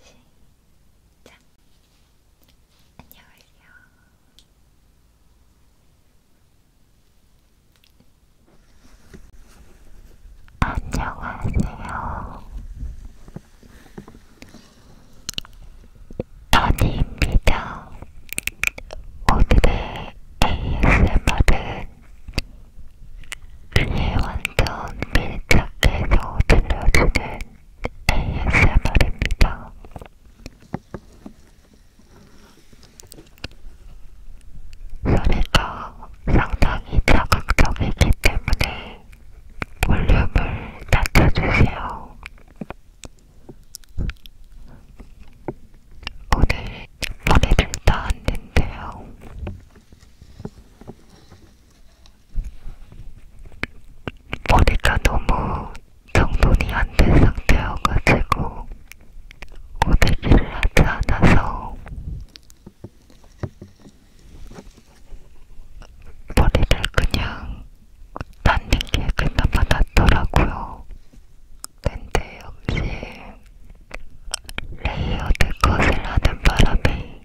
시작. 안녕하세요. 안녕하세요. 다니입니다. 오늘의 ASMR은 귀에 완전 밀착해서 들려주는 ASMR입니다. 소리가 상당히 자극적이기 때문에 볼륨을 낮춰주세요. 오늘 머리를 닿았는데요. 머리가 너무 정돈이 안 된 상태여가지고 고데기를 하지 않아서 머리를 그냥 닿는 게 그나마 낫더라고요. 근데 역시 레이어드 컷을 하는 바람에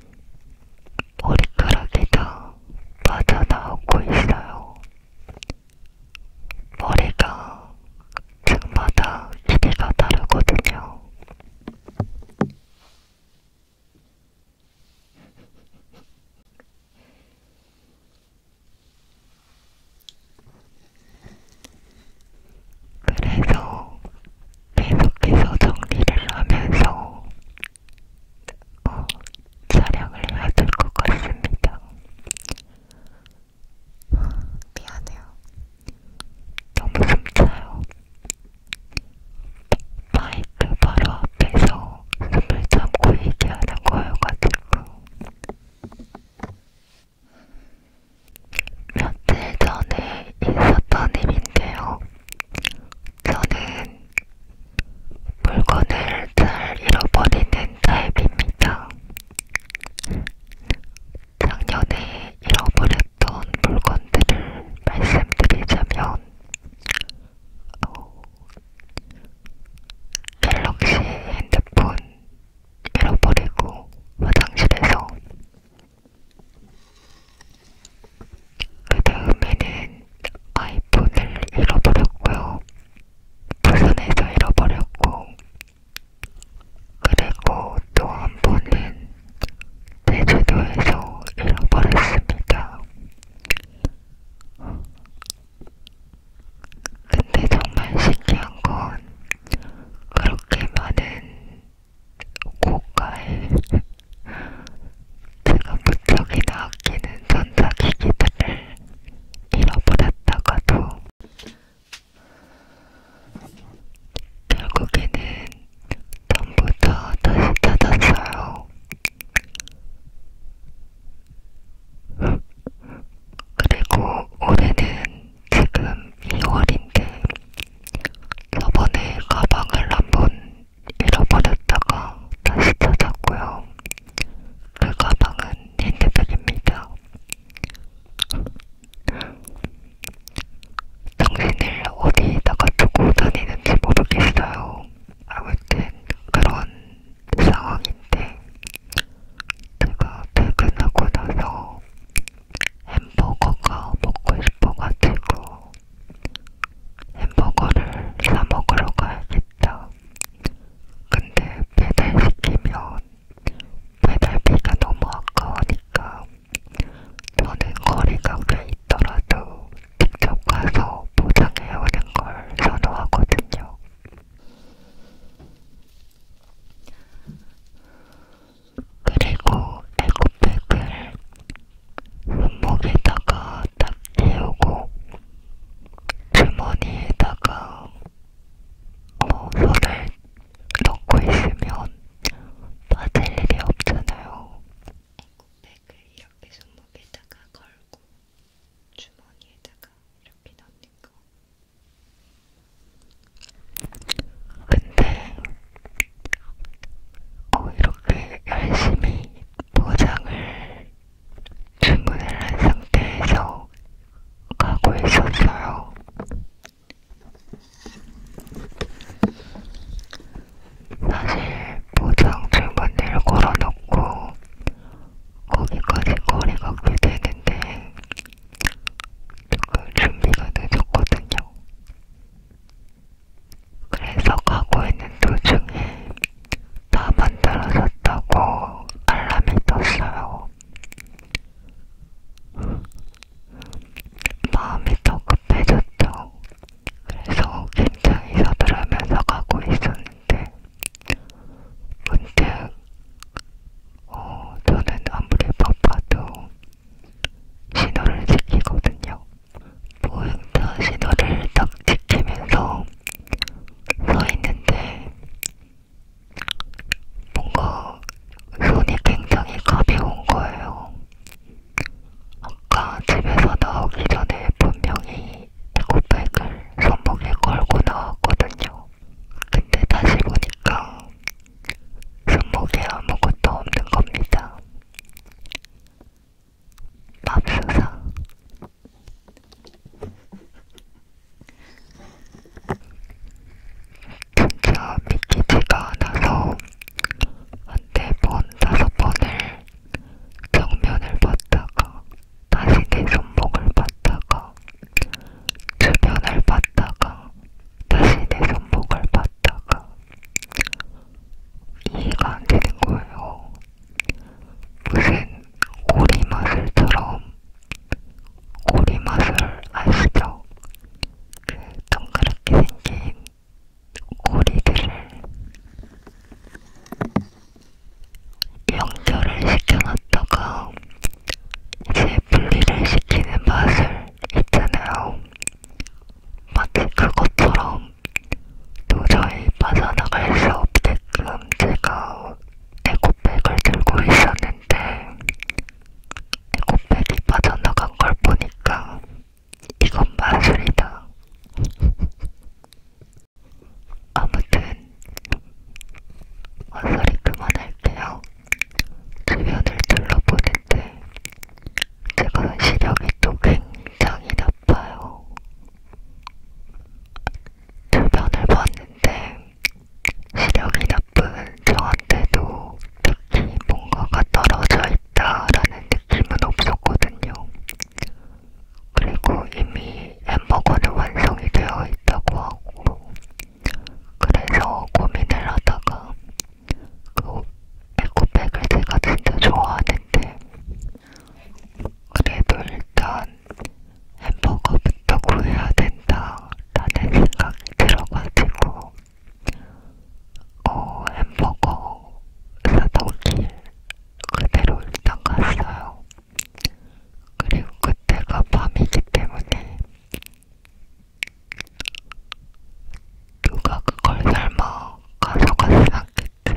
머리카락이 다 빠져나오고 있어요. 머리가 층마다 길이가 다르거든요. 그래서 계속해서 정리를 하면서 어, 촬영을 해야 될것 같습니다. 미안해요. 너무 숨차요. 마이크 바로 앞에서 숨을 참고 얘기하는 거여가지고. 며칠 전에 있었던 일인데요. 저는 물건을 잘 잃어버리는 타입입니다. 작년에 잃어버렸던 물건들을 말씀드리자면 어, 갤럭시 핸드폰 잃어버리고 화장실에서 그 다음에는 아이폰을 잃어버렸고요. 부산에서 잃어버렸고, 그리고 또 한 번은 제주도에서 잃어버렸습니다. 근데 정말 신기한 건 그렇게 많은 고가에 제가 무척이나 아끼는 전자기기들을 잃어버렸다가도 결국에는 전부 다 다시 찾았어요. 그리고 올해는 지금 2월인데 저번에 가방을 한 번 잃어버렸다가 다시 찾았고요. 그 가방은 힌트드립니다. 정신을 어디다가 두고 다니는지 모르겠어요. 아무튼 그런 상황인데 제가 퇴근하고 나서 햄버거가 먹고 싶어가지고 햄버거를 사 먹으러 가야겠다. 근데 배달시키면 배달비가 너무 아까우니까 저는 거리가 꽤 있더라도 직접 가서 포장해오는 걸 선호하거든요. 그리고 에코백을 손목에다가 딱 채우고 주머니에다가 어, 손을 넣고 있으면 빠질 일이 없잖아요. 에코백을 이렇게 손목에다가 걸고 주머니에다가 이렇게 넣는 거. 근데 어, 이렇게 열심히 포장을 주문을 한 상태에서 가고 있었어요. 사실 포장 주문을 걸어놓고 거기까지 거리가 꽤 되는데 조금 준비가 늦었거든요. 그래서 가고 있는 도중에 다 만들어졌다고 알람이 떴어요. 마음이 더 급해졌죠. 그래서 굉장히 서두르면서 가고 있었는데 문득 어, 저는 아무리 바빠도 신호를 지키거든요. 보행자 신호를 딱 지키면서 서 있는데 뭔가 손이 굉장히 가벼운 거예요. 아까 집에서 나오기 전에 분명히 에코백을 손목에 걸고 나왔거든요. 근데 다시 보니까 손목에 아무것도 없는 겁니다. 맙소사. 진짜 믿기지가 않아서 한네 번, 다섯 번을 정면을 봤다가 다시 내 손목을 봤다가 주변을 봤다가 다시 내 손목을 봤다가 이해가 안 되는 거예요. 무슨 오리마술처럼 오리마술 아시죠? 그 동그랗게 생긴 오리들을 연결을 시켜놨다가 이제 분리를 시키는 마술 있잖아요. 마치 그것처럼 도저히 빠져나갈 수 없게끔 제가 에코백을 들고 있었는데 에코백이 빠져나간 걸 보니까 이건 마술이다. 아무튼, 헛소리 그만할게요. 주변을 둘러보는데 제가 시력이 또 굉장히 나빠요. 주변을 봤는데 시력이 나쁜 저한테도 특히 뭔가가 떨어져 있다라는 느낌은 없었거든요. 그리고 이미 햄버거는 완성이 되어 있다고 하고 그래서 고민을 하다가 그 에코백을 제가 진짜 좋아하는데 그래도 일단 햄버거부터 구해야 된다라는 생각이 들어가지고 어, 햄버거 사다 오길 그대로 일단 갔어요. 그리고 그때가 밤이기 때문에 누가 그걸 설마 가져가진 않겠지?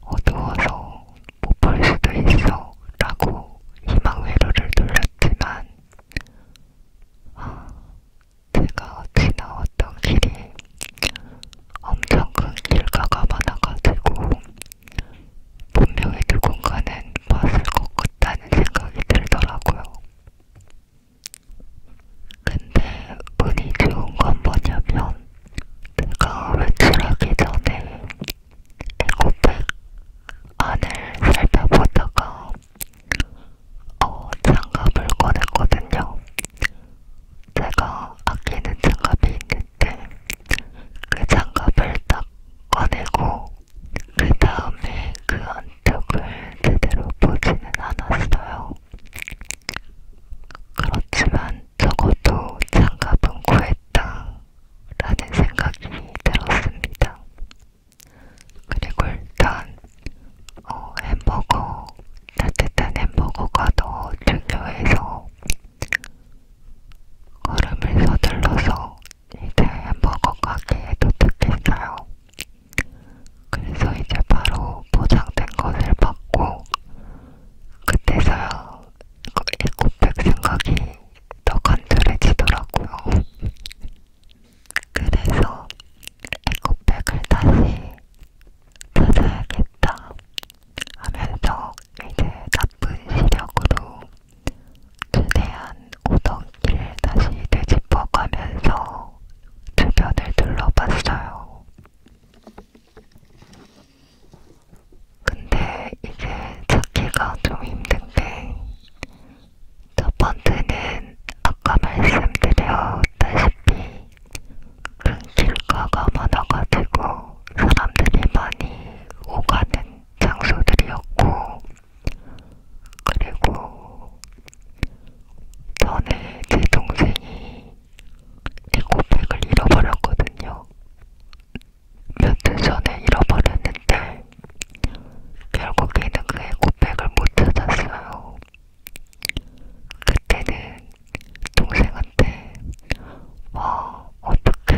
어두워서 못 볼 수도 있어 라고 희망회로를 돌렸지만 아, 제가 지나왔던 길이 엄청 큰 길가가 많아가지고 분명히 누군가는 봤을 것 같다는 생각이 들더라고요. 근데 운이 좋은 건 뭐냐면 내가 외출하기 전에 에코백 안을 살펴보다가 어, 장갑을 꺼냈거든요. 제가 아끼는 장갑이 있는데 그 장갑을 딱 꺼내고 그 다음에 그안 적을 제대로 보지는 않았어요. 그렇지만 적어도 장갑은 구했다라는 생각이 들었습니다. 그리고 일단 어, 햄버거, 따뜻한 햄버거가 더 중요해서 걸음을 서둘러서 이제 햄버거 가게에 도착했어요. 그래서 이제 바로 포장된 것을 받고 그때서야 에코백 생각이 더 간절해지더라고요. 그래서 에코백을 다시 찾아야겠다 하면서 이제 나쁜 시력으로 최대한 오덕길을 다시 되짚어가면서 주변을 둘러봤어요. 근데 이제 찾기가 좀 힘든 게첫 번째는 아까 말씀드렸다시피 큰 길가가 많아가지고 사람들이 많이 오가는 장소들이었고 그리고 전에 제 동생이 에코백을 잃어버렸거든요. 몇주 전에 잃어버렸는데 결국에는 그 에코백을 못 찾았어요. 그때는 동생한테 와 어떻게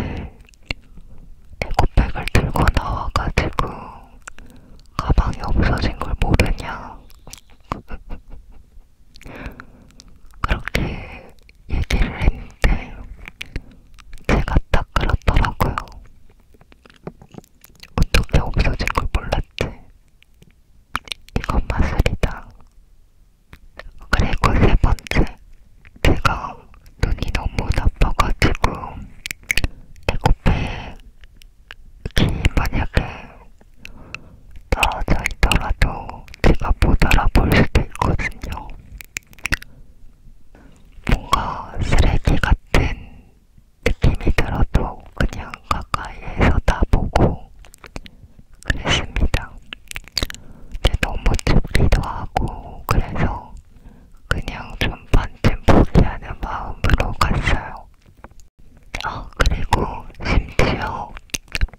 에코백을 들고 나와가지고 가방이 없어진 걸 모르냐. 그렇게 얘기를 했는데 제가 딱 그렇더라고요. 어떻게 없어진 걸 몰랐지? 이건 마술이다. 그리고 세 번째, 제가 눈이 너무 나빠가지고 에코백이 만약에 떨어져 있더라도 제가 못 알아볼 수도 있거든요. 뭔가 쓰레기 같은 느낌이 들어도 그냥 가까이에서 다 보고 그랬습니다. 근데 너무 춥기도 하고 그래서 그냥 전반쯤 포기하는 마음으로 갔어요. 아, 그리고 심지어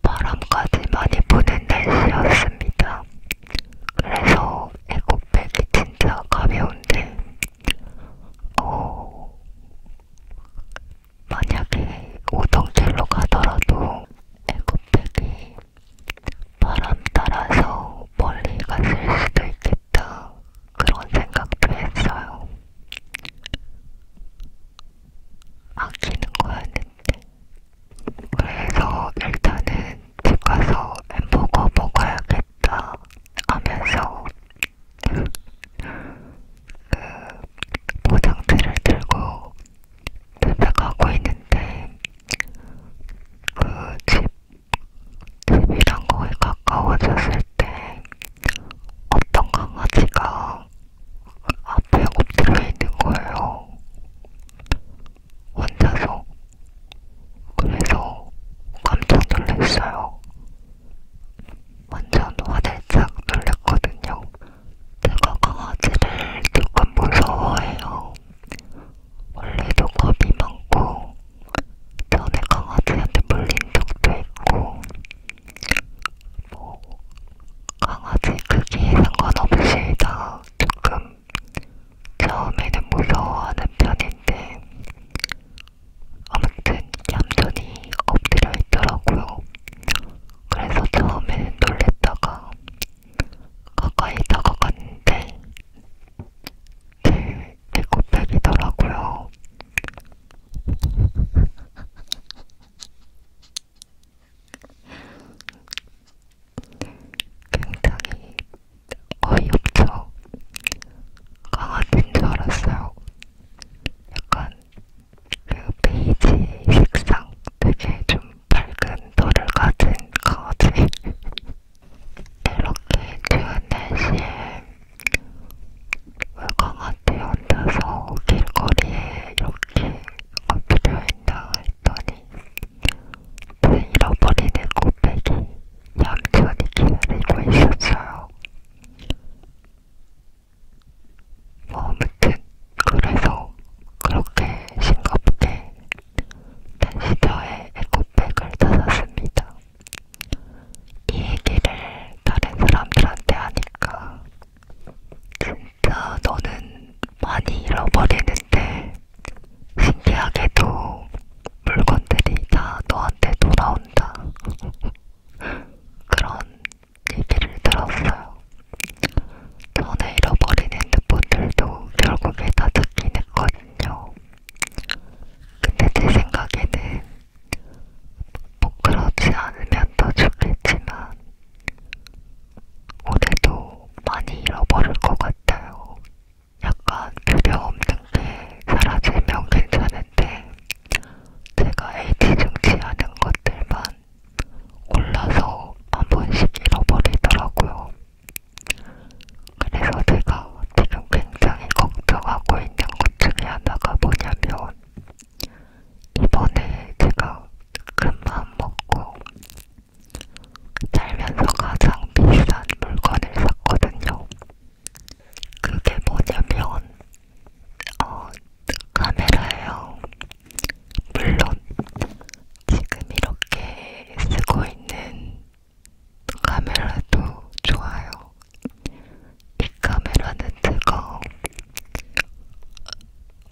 바람까지 많이 부는 날씨였습니다. 그래서 에코백이 진짜 가벼운데, 어, 만약에 오동길로 가더라도 에코백이 바람 따라서 멀리 갔을 수도 있겠어요. 좋겠다 그런 생각도 했어요. 아끼는 거였는데. 그래서 일단은 집 가서 햄버거 먹어야겠다 하면서 그 포장지를 들고 도착하고 있는데 그집 집이랑 거의 가까워졌을 때 어떤 강아지가 앞에 엎드려 있는 거예요. 혼자서. 그래서 깜짝 놀랐어요. 완전 화들짝 놀랐거든요. 제가 강아지를 조금 무서워해요. 원래도 겁이 많고 전에 강아지한테 물린 적도 있고 뭐 강아지 크기에 상관없이 다 조금 처음에는 무서워하는 편인데 아무튼 얌전히 엎드려 있더라고요. 그래서 처음에는 놀랬다가 가까이 다가갔는데 제 배꼽백이더라고요. 굉장히 어이없죠. 강아지인 줄 알았어요. 약간 그 베이지 색상 되게 좀 밝은 털을 가진 강아지. 이렇게 좋은 날씨에 외강한테 혼자서 길거리에 이렇게 커피를 했나 했더니 제 그 잃어버리는 꽃백이 얌전히 기다리고 있었어요. 뭐 아무튼 그래서 그렇게 싱겁게 펜시저의 에코백을 찾았습니다. 이 얘기를 다른 사람들한테 하니까 진짜 너는 많이 잃어버리는데 신기하게도 물건들이 다 너한테 돌아온다. 그런 얘기를 들었어요. 전에 잃어버린 핸드폰들도 결국에 다 찾긴 했거든요. 근데 제 생각에는 꼭 뭐 그렇지 않으면 더 좋겠지만 올해도 많이 잃어버릴 것 같아요. 약간 두려 없는 게 사라지면 괜찮은데 제가 애지중지 하는 것들만 올라서 한 번씩 잃어버리더라고요. 그래서 제가 지금 굉장히 걱정하고 있는 것 중에 하나가 뭐냐면 이번에 제가 큰맘 먹고 살면서 가장 비싼 물건을 샀거든요. 그게 뭐냐면 어, 카메라예요. 물론 지금 이렇게 쓰고 있는 카메라도 좋아요. 이 카메라는 제가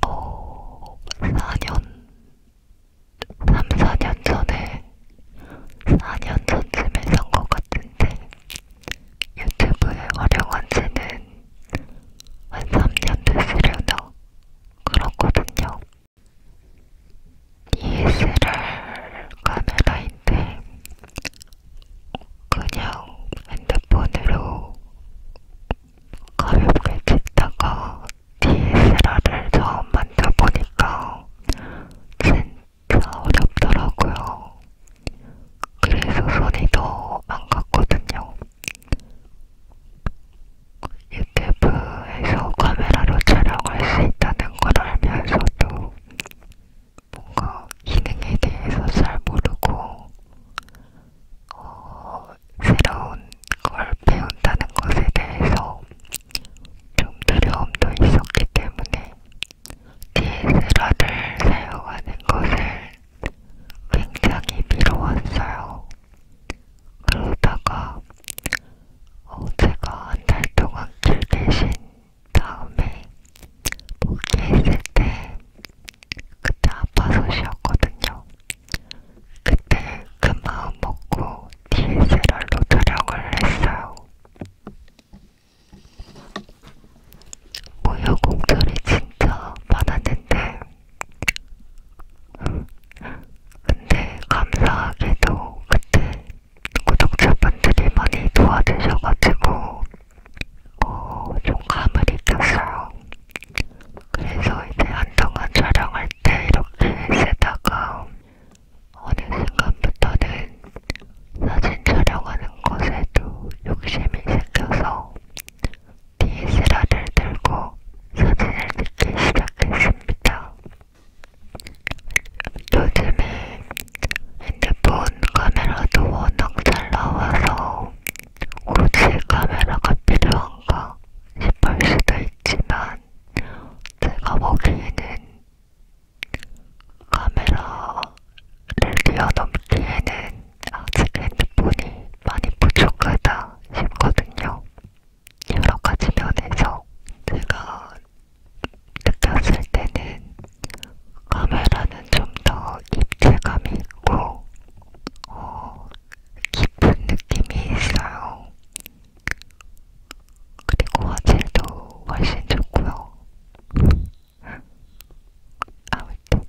어, 4년, 3, 4년 전에 4년 전쯤에 산 것 같은데 유튜브에 활용한 지는 한 3년 됐으려나 그렇거든요. DSLR 카메라인데 그냥 핸드폰으로 가볍게 찍다가 DSLR을 처음 만져보니까 진짜 어렵더라고요. 그래서 손이 더 안 갔거든요. 유튜브에서 카메라로 촬영할 수 있다는 걸 알면서도 뭔가 기능에 대해서 잘 모르고 어, 새로운 걸 배운다는 것에 대해서 좀 두려움도 있었기 때문에 DSLR을 사용하는 것을 굉장히 미뤄왔어요. 그러다가 어, 제가 한 달 동안 길 계신 다음에 목에 있을 때 그때 아파서 쉬었거든요. 그때 그 마음 먹고 DSLR로 촬영을 했어요. 무효공절이 진짜 많았는데 근데 감사하게도 그때 구독자분들이 많이 도와주셔가지고 어, 좀 감을 익혔어요. 그래서 이제 한동안 촬영할 때 이렇게 쓰다가 어느 순간부터는 사진 촬영하는 것에도 욕심이 생겨서 DSLR을 들고 사진을 찍기 시작했습니다. 요즘에 핸드폰 카메라도 워낙 잘 나와서 굳이 카메라가 필요한가 싶을 수도 있지만 제가 보기에는 카메라를 뛰어넘기에는 아직 핸드폰이 많이 부족하다 싶거든요. 여러 가지 면에서 제가 느꼈을 때는 카메라는 좀 더 입체감이 있고 어, 깊은 느낌이 있어요. 그리고 화질도 훨씬 좋고요. 아무튼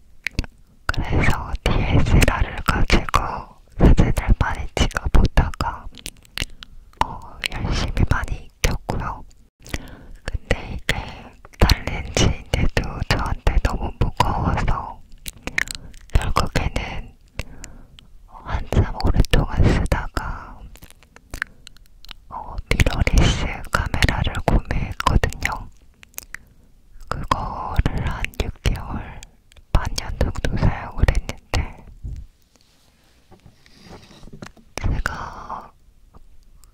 그래서 DSLR을 가지고 사진을 많이 찍어보다가 어, 열심히 많이 익혔고요. 근데 이게 달렌지인데도 저한테 너무 무거워서 결국에는 한참 오랫동안 쓰다가 어, 미러리스 카메라를 구매했거든요. 그거를 한 6개월, 반 년 정도 사용을 했는데 제가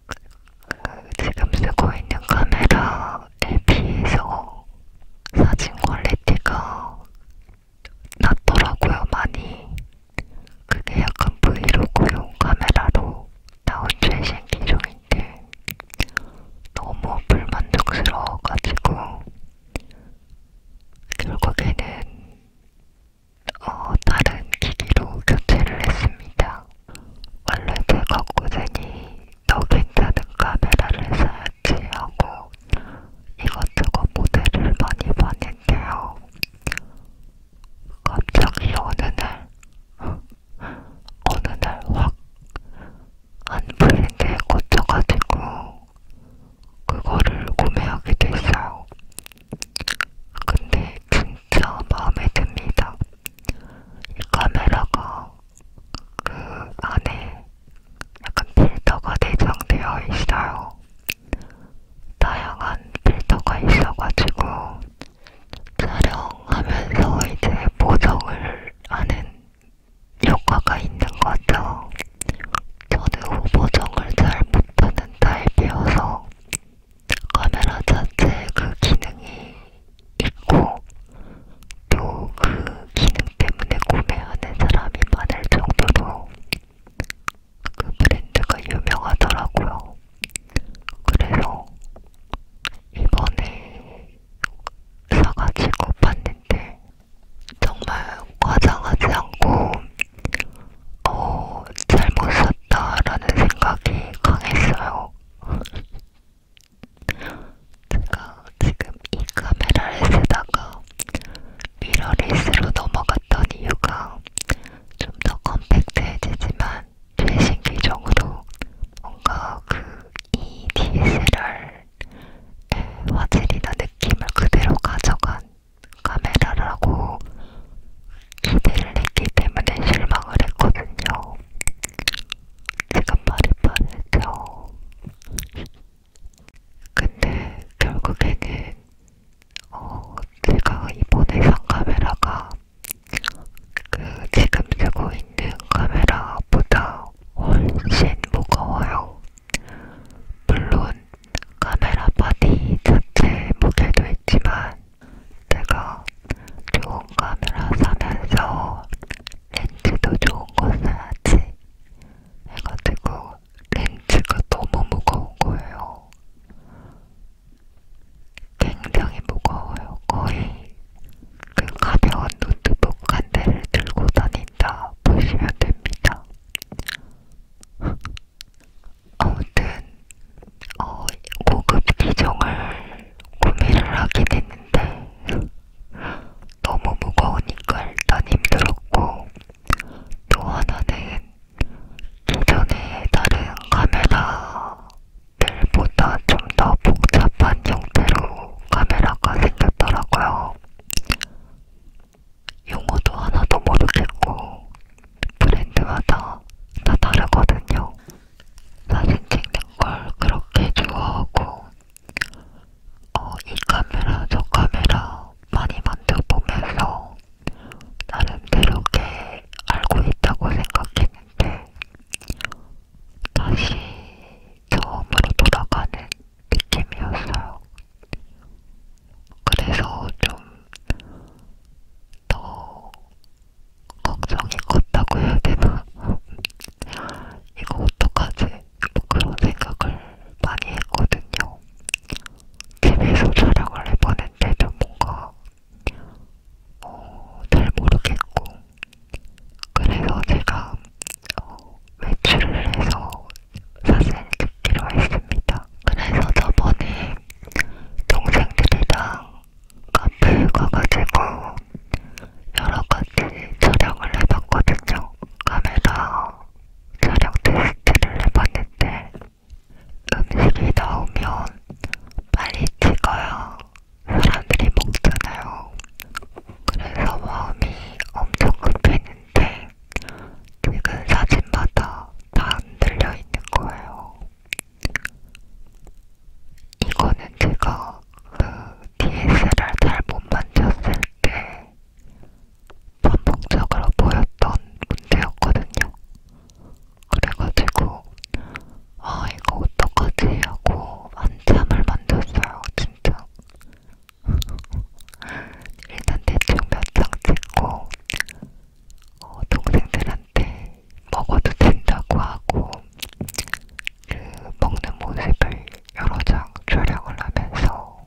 그 지금 쓰고 있는 카메라에 비해서 사진 퀄리티가 낮더라고요, 많이. 그게 약간 브이로그용 카메라로 나온 최신 기종인데 너무 불만족스러워가지고 결국에는 어, 다른 기기로 교체를 했습니다. 원래 제가 꾸준히 너 괜찮은 카메라를 사야지 하고 이것저것 모델을 많이 봤는데요. 갑자기 어느 날, 어느 날확한 브랜드에 꽂혀가지고 그거를 구매하게 됐어요. 근데 진짜 마음에 듭니다. 이 카메라가 그 안에 약간 필터가 내장되어 있어요. 다양한 필터가 있어가지고 촬영하면서 이제 보정을 하는 효과가 있는 거죠. 저는 오버정을 잘 못하는 타입이어서 카메라 자체에 그 기능이 있고 또 그 기능 때문에 구매하는 사람이 많을 정도로 그 브랜드가 유명하더라고요. 그래서 이번에 사가지고 봤는데 정말 과장하지 않고 어, 잘못 샀다라는 생각이 강했어요. 제가 지금 이 카메라를 쓰다가 미러리스로 넘어갔던 이유가 좀 더 컴팩트해지지만 최신 기종으로 뭔가 그 EDSR 화질이나 네, 느낌을 그대로 가져간 카메라라고 기대를 했기 때문에 실망을 했거든요. 지금 말이 빠르죠. 근데 결국에는 어, 제가 이번에 산 카메라가 그 지금 쓰고 있는 카메라보다 훨씬 무거워요. 물론 카메라 바디 자체 무게도 있지만 내가 좋은 카메라 사면서 렌즈도 좋은 거 사야지 해가지고 렌즈가 너무 무거운 거예요. 굉장히 무거워요. 거의 그 가벼운 노트북 한 대를 들고 다닌다 보시면 됩니다. 아무튼 어, 고급 기종을 구매를 하게 됐는데 너무 무거우니까 일단 힘들었고 또 하나는 기존의 다른 카메라들보다 좀 더 복잡한 형태로 카메라가 생겼더라고요. 용어도 하나도 모르겠고 브랜드마다 다 다르거든요. 사진 찍는 걸 그렇게 좋아하고 어, 이 카메라 저 카메라 많이 만들어보면서 나름대로 게 알고 있다고 생각했는데 다시 처음으로 돌아가는 느낌이었어요. 그래서 좀 더 걱정이 컸다고 해야 되나? 이거 어떡하지? 뭐 그런 생각을 많이 했거든요. 집에서 촬영을 해보는데 좀 뭔가 어, 잘 모르겠고 그래서 제가 어, 외출을 해서 사실 듣기로 했습니다. 그래서 저번에 동생들이랑 카페에 가가지고 여러가지 촬영을 해봤거든요. 카메라 촬영 테스트를 해봤는데 음식이 나오면 빨리 찍어야 사람들이 먹잖아요. 그래서 마음이 엄청 급했는데 찍은 사진마다 다 흔들려 있는 거예요. 이거는 제가 그 DSLR 잘 못 만졌을 때 반복적으로 보였던 문제였거든요. 그래가지고 아 이거 어떡하지 하고 한참을 만졌어요 진짜. 일단 대충 몇 장 찍고 어, 동생들한테 먹어도 된다고 하고 그 먹는 모습을 여러 장 촬영을 하면서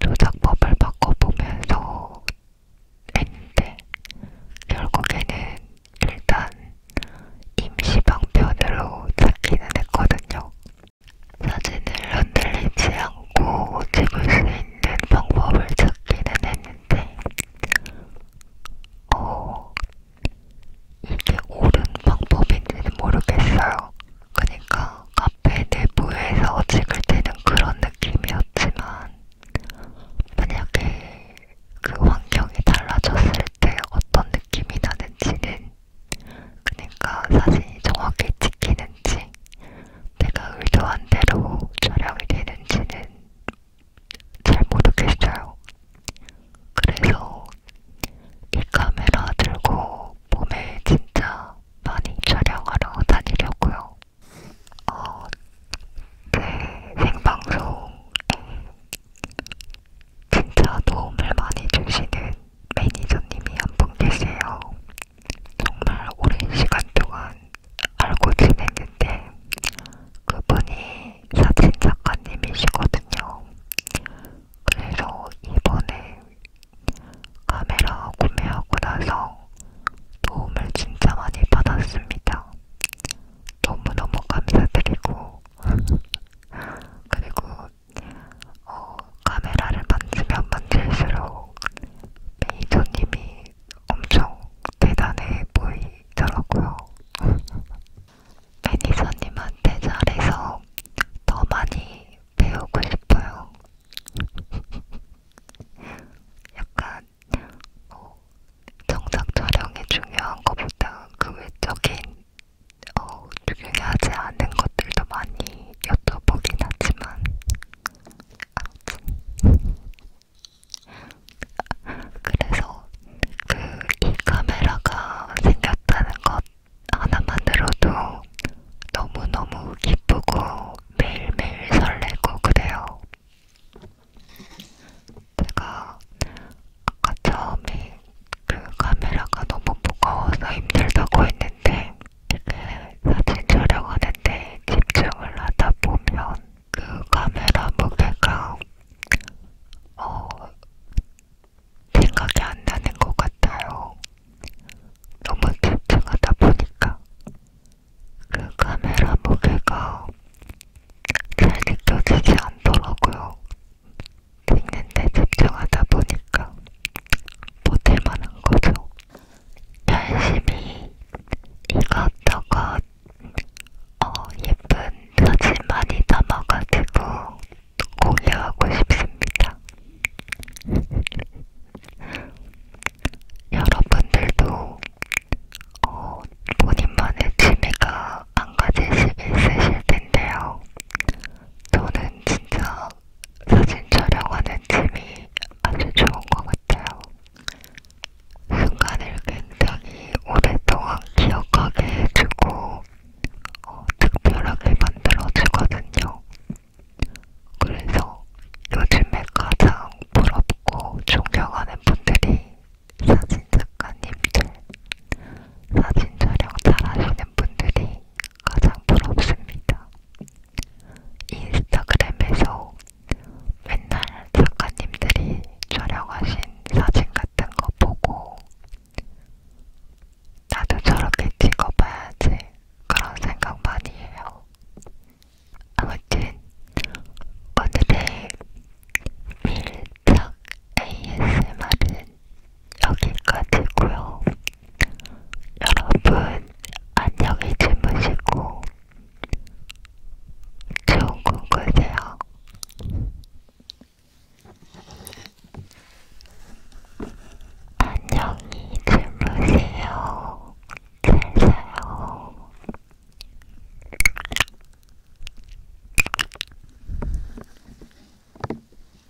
조작법을 바꿔보면서 했는데 결국에는 일단 임시방편으로 찾기는 했거든요. 사진을 흔들리지 않고 찍을 수 있는 방법을 찾기는 했는데, 어, 이게 옳은 방법인지는 모르겠어요. 그러니까 카페 내부에서 찍을 때는 그런 느낌이었지만, 만약에 그 환경이 달라졌을 때 어떤 느낌이 나는지는 그니까 사진이 정확히 찍히는지 내가 의도한 대로 촬영이 되는지는 잘 모르겠어요. 그래서 이 카메라 들고 몸에 진짜 많이 촬영하러 다니려고요. 어, 제 그 생방송에 진짜 도움을 많이 주시는 매니저님이 한 분 계세요. 정말 오랜 시간 동안 알고 지냈는데 그분이 사진 작가님이시거든요. 그래서 이번에 카메라 구매하고 나서 도움을 진짜 많이 받았습니다. 너무너무 감사드리고 그리고 어, 카메라를 만지면 만질수록 매니저님이 엄청 대단해 보이더라고요. 매니저님한테 잘해서 더 많이 배우고 싶어요. 약간 어, 정상 촬영이 중요한 것보다 그 외적인 어, 중요하지 않은 것들도 많이 여쭤보긴 하지만 아무튼 그래서 그 이 카메라가 생겼다는 것 하나만으로도 너무너무 기쁘고 매일매일 설레고 그래요. 제가 아까 처음에 그 카메라가 너무 무거워서 힘들다고 했는데 이게 사진 촬영하는데 집중을 하다 보면 그 카메라 무게가 어, 생각이 안 나는 것 같아요. 너무 집중하다 보니까 그 카메라 무게가 잘 느껴지지 않더라고요. 읽는데 집중하다 보니까 못할만한 거죠. 열심히 이것저것 어, 예쁜 사진 많이 담아가지고 공유하고 싶습니다. 여러분들도 어, 본인만의 취미가 한 가지씩 있으실 텐데요. 저는 진짜 사진 촬영하는 팀이 아주 좋은 것 같아요. 순간을 굉장히 오랫동안 기억하게 해주고 어, 특별하게 만들어주거든요. 그래서 요즘에 가장 부럽고 존경하는 분들이 사진작가님들 사진 촬영 잘하시는 분들이 가장 부럽습니다. 인스타그램에서 맨날 작가님들이 촬영하신 사진 같은 거 보고 나도 저렇게 찍어봐야지 그런 생각 많이 해요. 아무튼 오늘의 밀탁 ASMR은 여기까지고요. 여러분 안녕히 주무시고 좋은 꿈 꾸세요. 안녕히 주무세요. 잘 자요.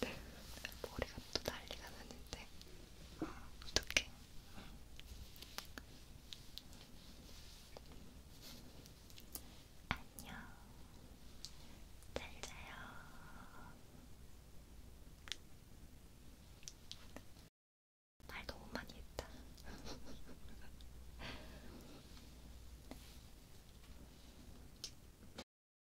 네. 머리가 또 난리가 났는데 어, 어떡해 안녕 잘자요 말 너무 많이 했다